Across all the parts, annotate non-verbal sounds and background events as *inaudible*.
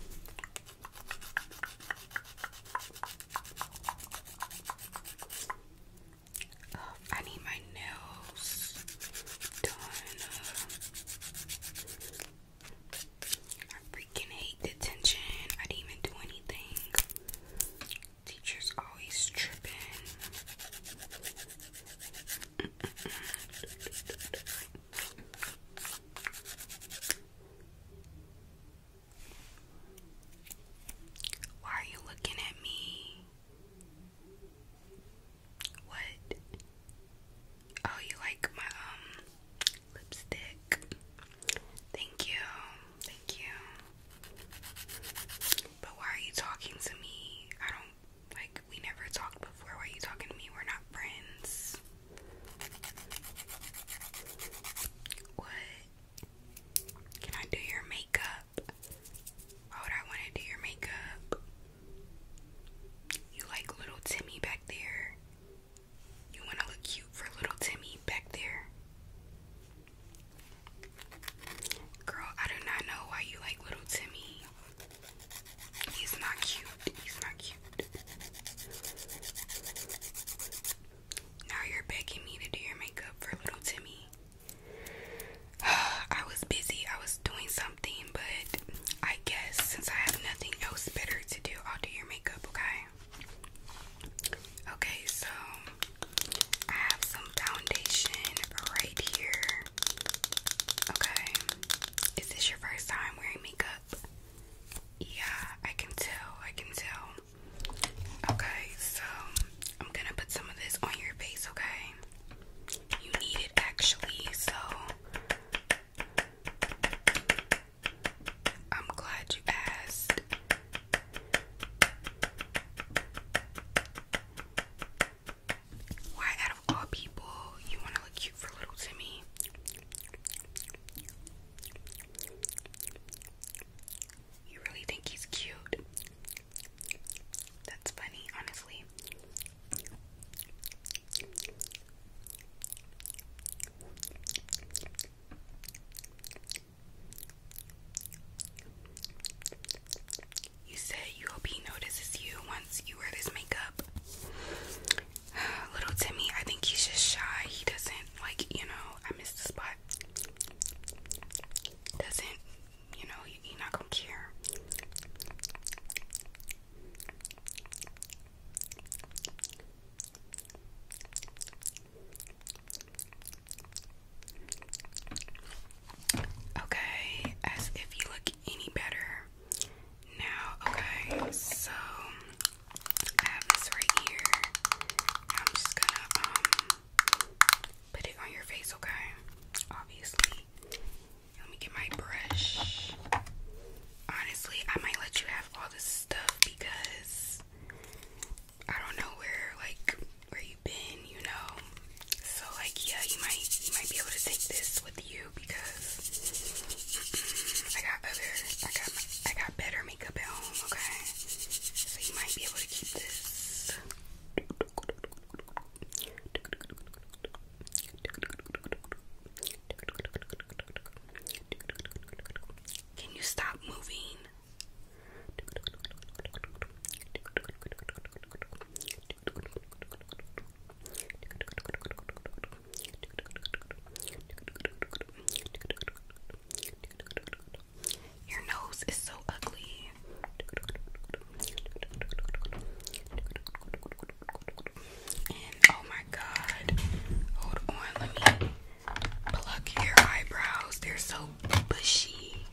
Oh, I need my nails done. I freaking hate detention. I didn't even do anything. Teachers always tripping. *laughs* Why are you looking at me? What? Oh, you like my um lipstick? Thank you. Thank you. But why are you talking to me? I don't like we never talked before. Why are you talking to me? We're not friends. What? Can I do your makeup? Why would I want to do your makeup? You like little Timmy back there. You want to look cute for little Timmy back there. Girl, I do not know why you like little Timmy. He's not cute. He's not cute. Now you're begging me to do your makeup for little Timmy. *sighs* I was busy. I was doing something, but I guess since I have nothing else better to do, I'll do your makeup, okay? Okay, so I have some foundation right here. Okay. Is this your first time wearing makeup? Yeah, I can tell. I can tell. Okay, so I'm gonna put some of this on your face, okay? You need it actually, so I'm glad you asked. Why, out of all people, you want to look cute for little Timmy? You really think he's cute? That's funny, honestly. You said you hope he notices you once you wear this makeup. *sighs* Little Timmy, I think he's just shy. He doesn't, like, you know, I missed the spot. Doesn't, you know, he, he not gonna care. Okay, as if you look any better now. Okay, so I have this right here. I'm just gonna um put it on your face, okay? Obviously. Let me get my brush. Honestly, I might let you have all this stuff because I don't know where like where you been, you know. So like yeah, you might you might be able to take this with you because I got other I got I got better makeup at home, okay? So you might be able to keep this. Can you stop moving? Your nose is so ugly. And oh my god. Hold on, let me pluck your eyebrows. They're so bushy.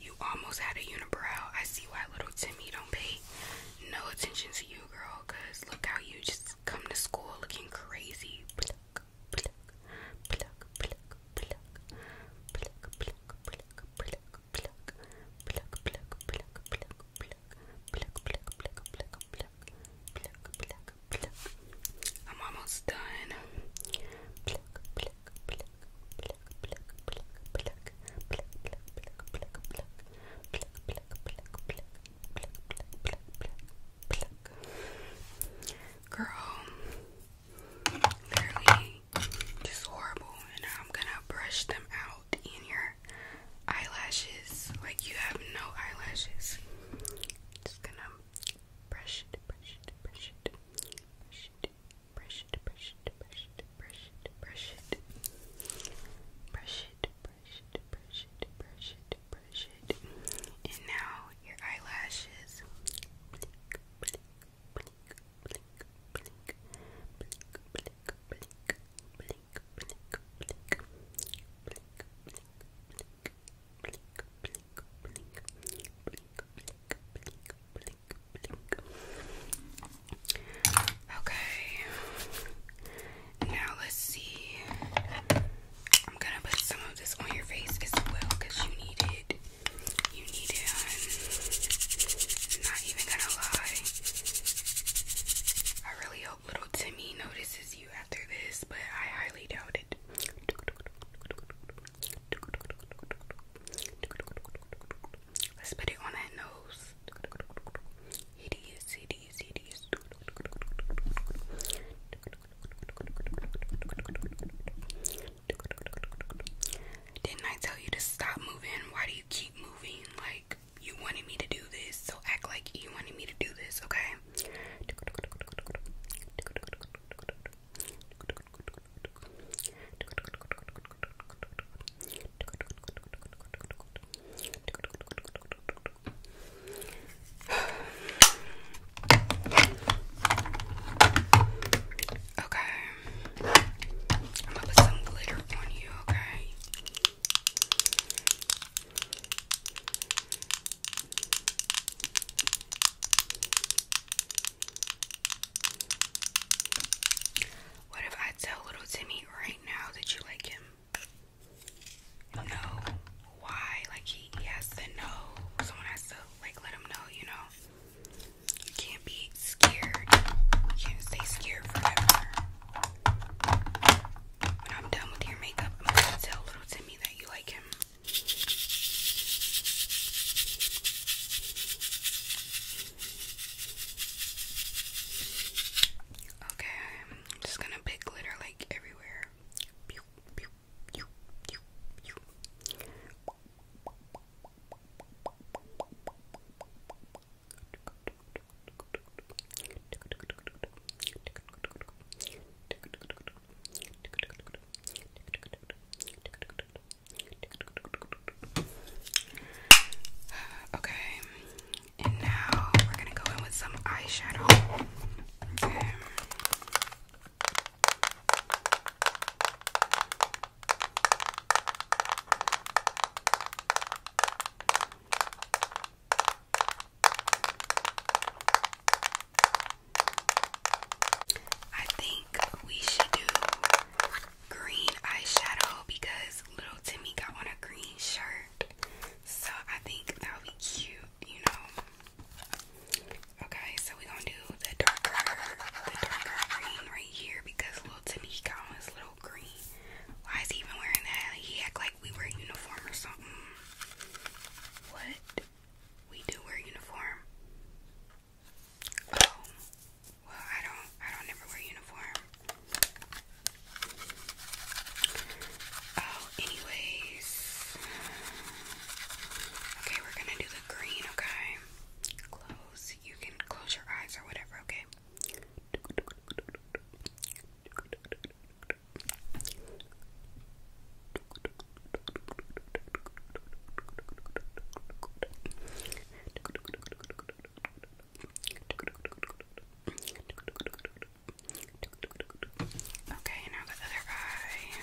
You almost had a unibrow. I see why little Timmy don't pay no attention to you, girl cause look how you just come to school looking crazy. I'm almost done. Pluck, pluck, pluck, pluck, pluck. Girl, literally just horrible. And now I'm gonna brush them out in your eyelashes. Like you have no eyelashes. Just gonna brush it, brush it, brush it, brush it, brush it, brush it, brush it, brush it, brush it, brush it, brush it, brush it, brush it, brush it, brush it, brush it. And now your eyelashes. Blink, blink, blink, blink, blink, blink, blink, blink, blink, blink, blink, blink, blink. Blink, blink, blink, blink, blink, blink, blink, blink. Okay. Now let's see. I'm gonna put some of this on your face as well you need it. You need it. not even gonna lie. I really hope little Timmy notices you after this, but I highly doubt it. *laughs* Let's put it on that nose. Didn't I tell you to stop moving? Why do you keep moving? Like, you wanted me to do this, so act like you wanted me to do this, okay? Okay. I'm gonna put some glitter on you, okay? What if I tell little Timmy right now that you like him? No. Why? Like he, he has to know. Someone has to like let him know, you know. You can't be scared. You can't stay scared forever. When I'm done with your makeup, I'm gonna tell little Timmy that you like him. Okay, I'm just gonna put glitter like everywhere. Pew, pew, pew, pew, pew. Okay, and now we're gonna go in with some eyeshadow. I think we should do green eyeshadow because little Timmy got on a green shirt. So I think that will be cute, you know. Okay, so we're gonna do the darker, the darker green right here because little Timmy he got on his little green. Why is he even wearing that? He act like we wear a uniform or something. What? We do wear uniform. Oh, well, I don't, I don't ever wear uniform. Oh, anyways. Okay, we're gonna do the green, okay? Close, you can close your eyes or whatever, okay? Okay, now the other eye. Okay.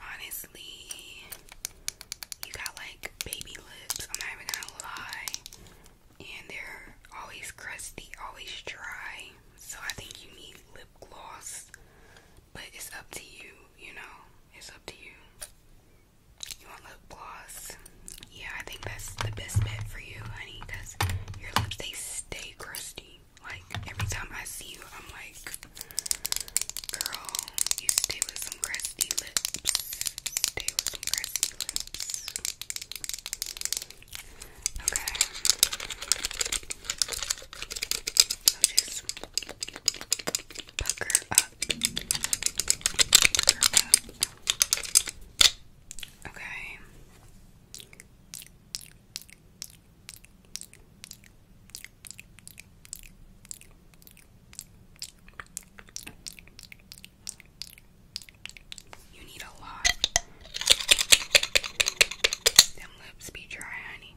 Honestly, you got like baby lips. I'm not even gonna lie. And they're always crusty, always dry. So I think you need lip gloss. But it's up to you, you know? It's up to you. You want lip gloss? Yeah, I think that's the best bet for you, honey, because your lips, they stay crusty. Like every time I see you, I'm like, girl, you stay with some crusty lips. Stay with some crusty lips. Okay. Okay. You need a lot. Them lips be dry, honey.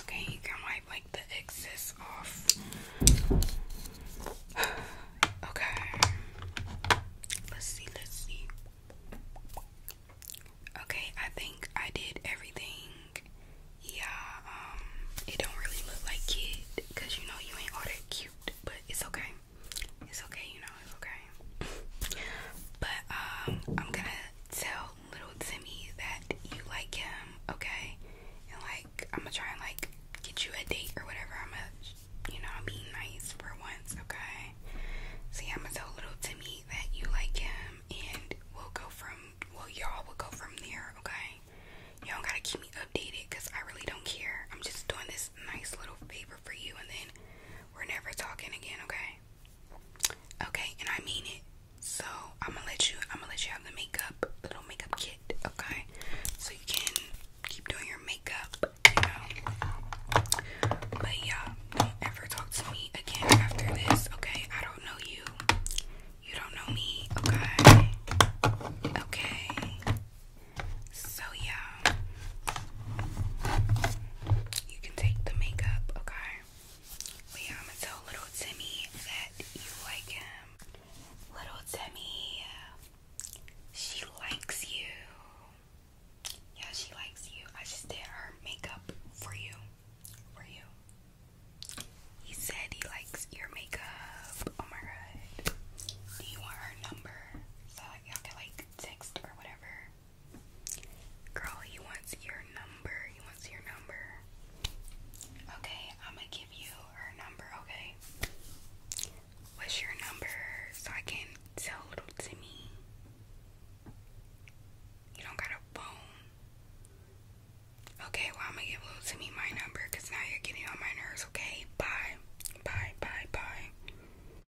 Okay, you can wipe like the excess off. *sighs* okay. Let's see, let's see. Okay, I think I did everything. Yeah, um, it don't really look like kid because you know you ain't all that cute, but it's okay. It's okay, you know, it's okay. *laughs* but um I'm gonna tell little Timmy that you like him, okay? And like, I'm gonna try and like get you a date or whatever. I'm gonna, you know, be nice for once, okay? See, yeah, I'm going tell little Timmy that you like him, and we'll go from, well, y'all will go from there, okay? Y'all gotta keep me updated because I really don't care. I'm just doing this nice little favor for you, and then we're never talking again, okay? Okay. and I mean it. So I'm gonna let you. I'm gonna let you have the makeup little makeup kit. Okay. So you can keep doing your makeup. But yeah, don't ever talk to me again after this. Okay. I don't know you. You don't know me. Okay. Okay. So yeah you can take the makeup, okay? yeah, I'm gonna tell little Timmy that you like him. Little Timmy, she likes you. Yeah, she likes you. I just did her makeup for you. For you. He said he likes your makeup. Oh my god. Do you want her number? So y'all can like text or whatever. Girl, he wants your number. You want your number. Okay, I'm gonna give you her number, okay? What's your number so I can tell little Timmy? You don't got a phone. Okay, well, I'm gonna give little Timmy my number because now you're getting on my nerves, okay? Bye. Bye, bye, bye.